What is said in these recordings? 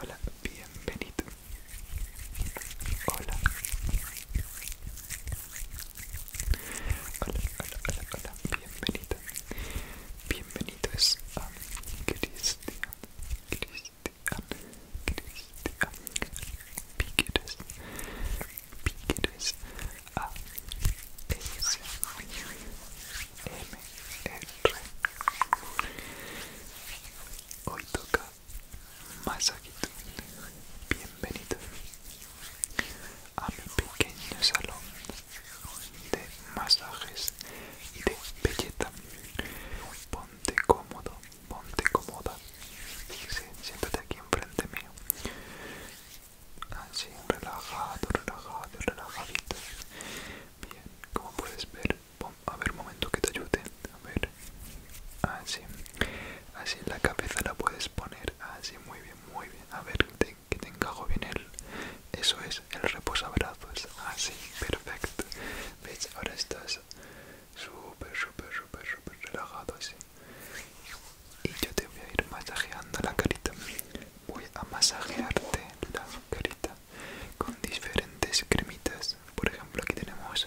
Hola, bienvenido. Hola. Hola, hola, hola, hola, bienvenida. Bienvenido bienvenidos a Cristian, Cristian, Cristian Piqueres, Piqueres a S M R. Hoy toca masajito. Bienvenido a mi pequeño salón de masajes y de belleza. Ponte cómodo, ponte cómoda. siéntate aquí enfrente mío. Así, relajado, relajado, relajadito. Bien, como puedes ver, a ver un momento que te ayude. A ver, así así la cabeza la puedes poner así muy bien muy bien a ver que te encajo bien el eso es el reposabrazos así perfecto veis ahora estás súper súper súper súper relajado así y yo te voy a ir masajeando la carita voy a masajearte la carita con diferentes cremitas por ejemplo aquí tenemos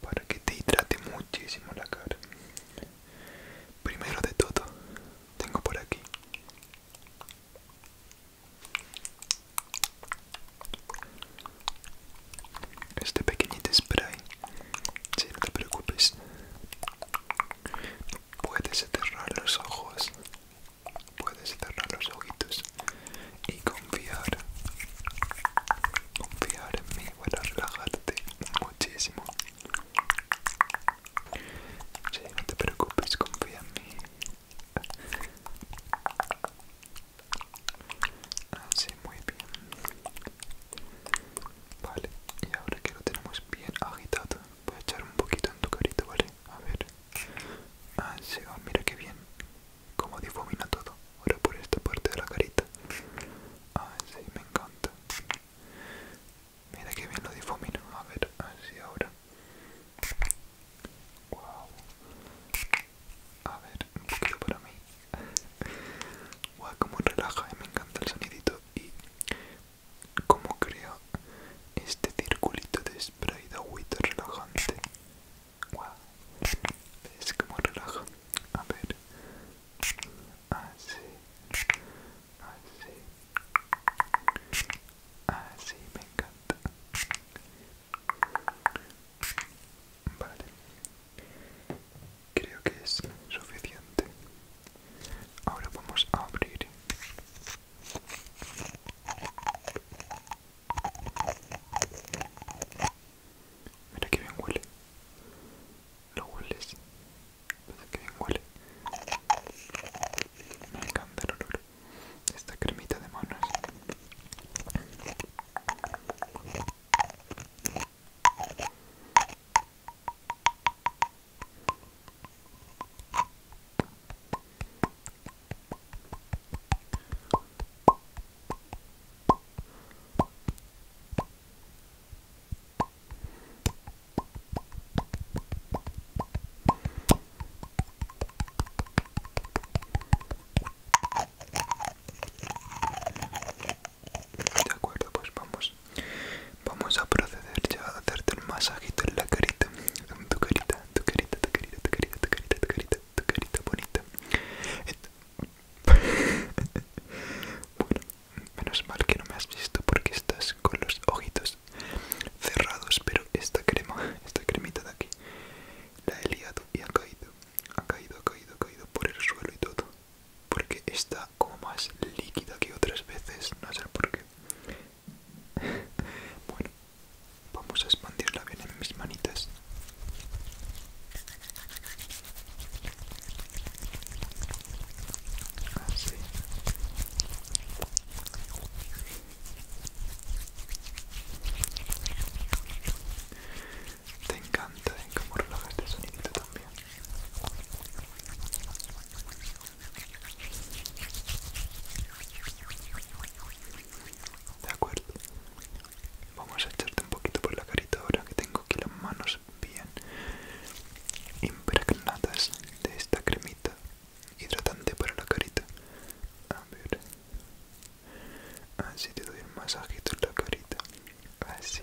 para que te hidrate muchísimo la cara. Primero de todo, tengo por aquí este pequeñito spray. Si no te preocupes, puedes cerrar los ojos, puedes cerrar los ojitos y confiar confiar en mí a relajarte muchísimo sí, no te preocupes confía en mí así ah, muy bien vale y ahora que lo tenemos bien agitado voy a echar un poquito en tu carrito vale a ver así ah, oh mira que bien como difumina todo. Ahora por esta parte de la carita. Ah, sí, me encanta. Mira que bien lo difumina. A ver, así ahora. Wow. A ver, un poquito para mí. Guau, wow, como relaja y eh, me encanta el sonidito. Y como crea este circulito de spray de agüita relajante es como relajo, relaja? A ver. Así. Así. Así me encanta. Vale. Creo que es suficiente. Ahora vamos a abrir Mira que bien huele. Lo hueles. Mira que bien huele. Me encanta el olor. Esta cremita de manos. De acuerdo, pues vamos. Vamos a proceder ya a hacerte el masajito en la carita, en tu carita tu carita, tu carita, tu carita, tu carita, tu carita, tu carita bonita. bueno, menos mal que no me has visto porque estás con los ojitos cerrados, pero esta crema, esta cremita de aquí, la he liado y ha caído, ha caído, ha caído, ha caído por el suelo y todo, porque está como más líquida que otras veces, no sé por qué. Bueno, vamos a expandirla bien en mis manitas. Te encanta ¿eh? cómo relaja este sonidito también. De acuerdo. Vamos a echarte un poquito por la carita ahora que tengo aquí las manos bien impregnadas de esta cremita hidratante para la carita. A ver. Así te doy un masajito en la carita. Así.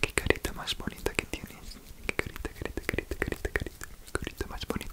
Qué carita más bonita que tienes. Qué carita, carita, carita, carita, carita. Carita más bonita.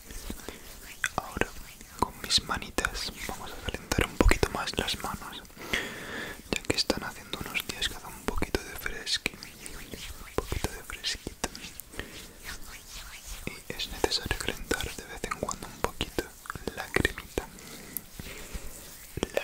Ahora con mis manitas vamos a calentar un poquito más las manos, ya que están haciendo unos días que hace un poquito de fresquito, un poquito de fresquito. Y es necesario calentar de vez en cuando un poquito la cremita. La cremita.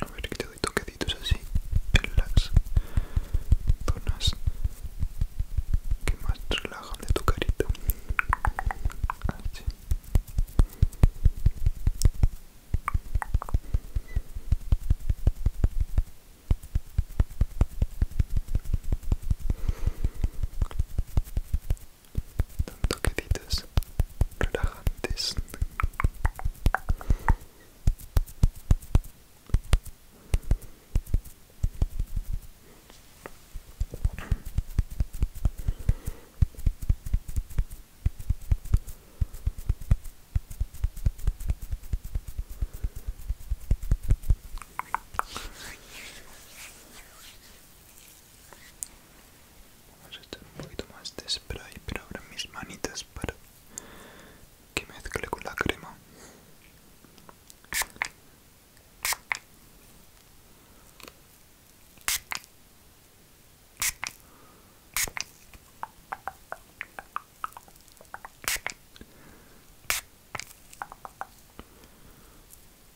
A ver que te doy toquecitos así en las zonas que más relajan de tu carita. Son toquecitos relajantes. Vamos a echar un poquito más de spray, pero ahora mis manitas para que mezcle con la crema.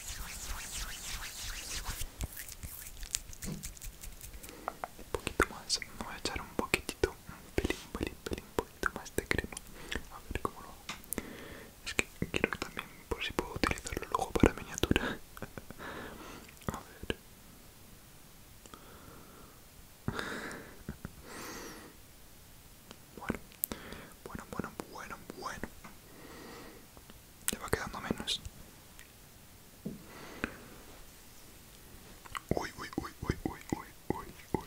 Un poquito más, me voy a echar un poquitito, un pelín, pelín, pelín, un poquito más de crema. A ver cómo lo hago. Es que quiero también, por si puedo utilizarlo luego para miniatura. a ver. bueno, bueno, bueno, bueno. Te va quedando menos. Uy, uy, uy, uy, uy, uy, uy,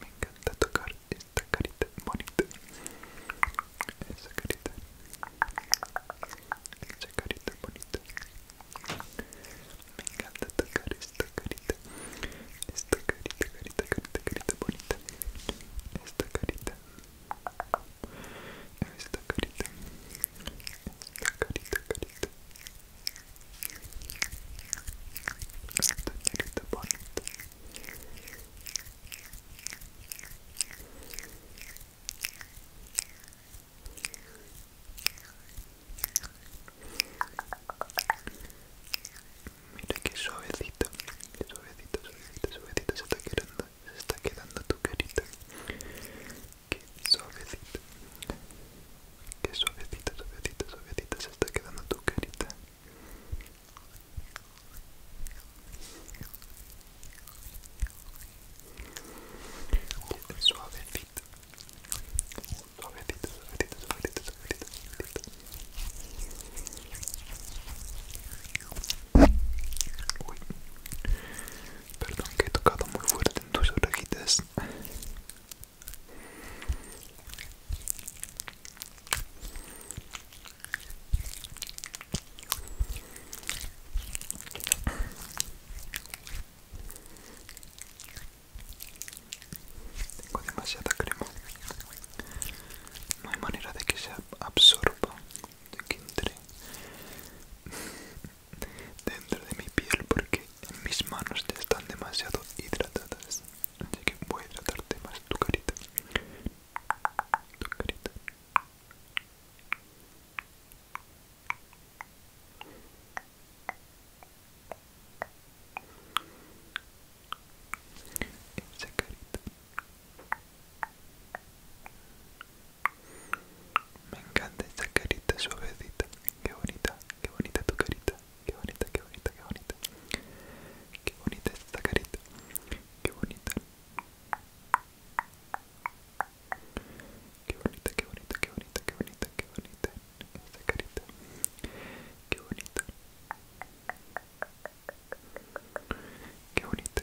me encanta tocar esta carita bonita esa carita esa carita bonita me encanta tocar esta carita esta carita carita carita carita bonita esta carita esta carita esta carita carita Mira qué bonita. Mira que suavecito, suavecito, suavecito, se está quedando, se está quedando tu carita. Qué suavecito que suavecita, suavecita, suavecita se está quedando tu carita. Suavecita, suavecita, suavecita, suavecita, suavecita, suavecita. Uy, perdón que he tocado muy fuerte en tus orejitas. Tengo demasiada crema. No hay manera de que se absorba, de que entre dentro de mi piel porque mis manos ya están demasiado hidratadas así que voy a hidratarte más tu carita tu carita esa carita me encanta esa carita suavecita, qué bonita Qué bonita tu carita. Qué bonita, qué bonita, qué bonita. Qué bonita esta carita. Qué bonita. Qué bonita, qué bonita, qué bonita, qué bonita, qué bonita esta carita. Qué bonita. Qué bonita.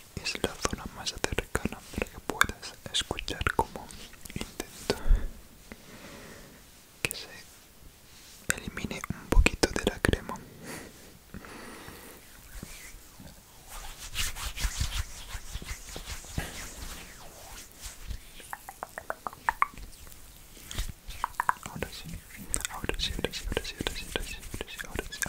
es la zona más cercana para que puedas escuchar como intento que se elimine un poquito de la crema ahora sí ahora sí sí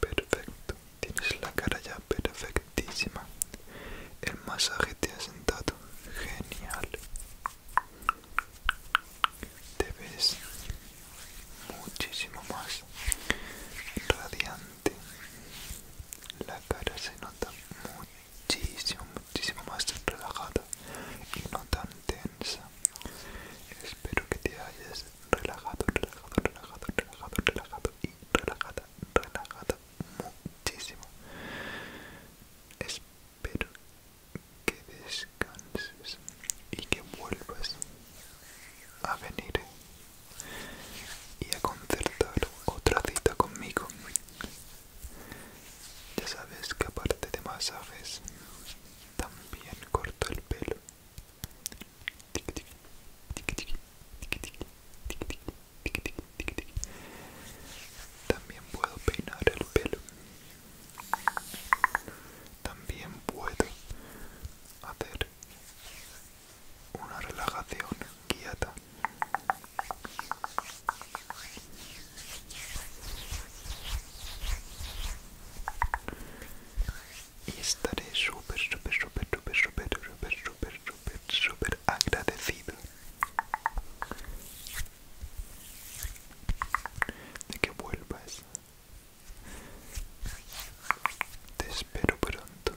Perfecto, tienes la cara ya perfectísima. El masaje te ha sentado genial. Te ves muchísimo más radiante. La cara se nota muchísimo muchísimo más relajada y no tan tensa. Espero que te hayas relajado, relajado, relajado, relajado, relajado y relajada, relajada muchísimo. Espero que descanses y que vuelvas a venir y a concertar otra cita conmigo ya sabes que aparte de masajes, también corto el pelo. También puedo peinar el pelo. También puedo hacer una relajación guiada y estaré súper, súper, súper, súper, súper, súper, súper, súper, agradecido de que vuelvas. Te espero pronto.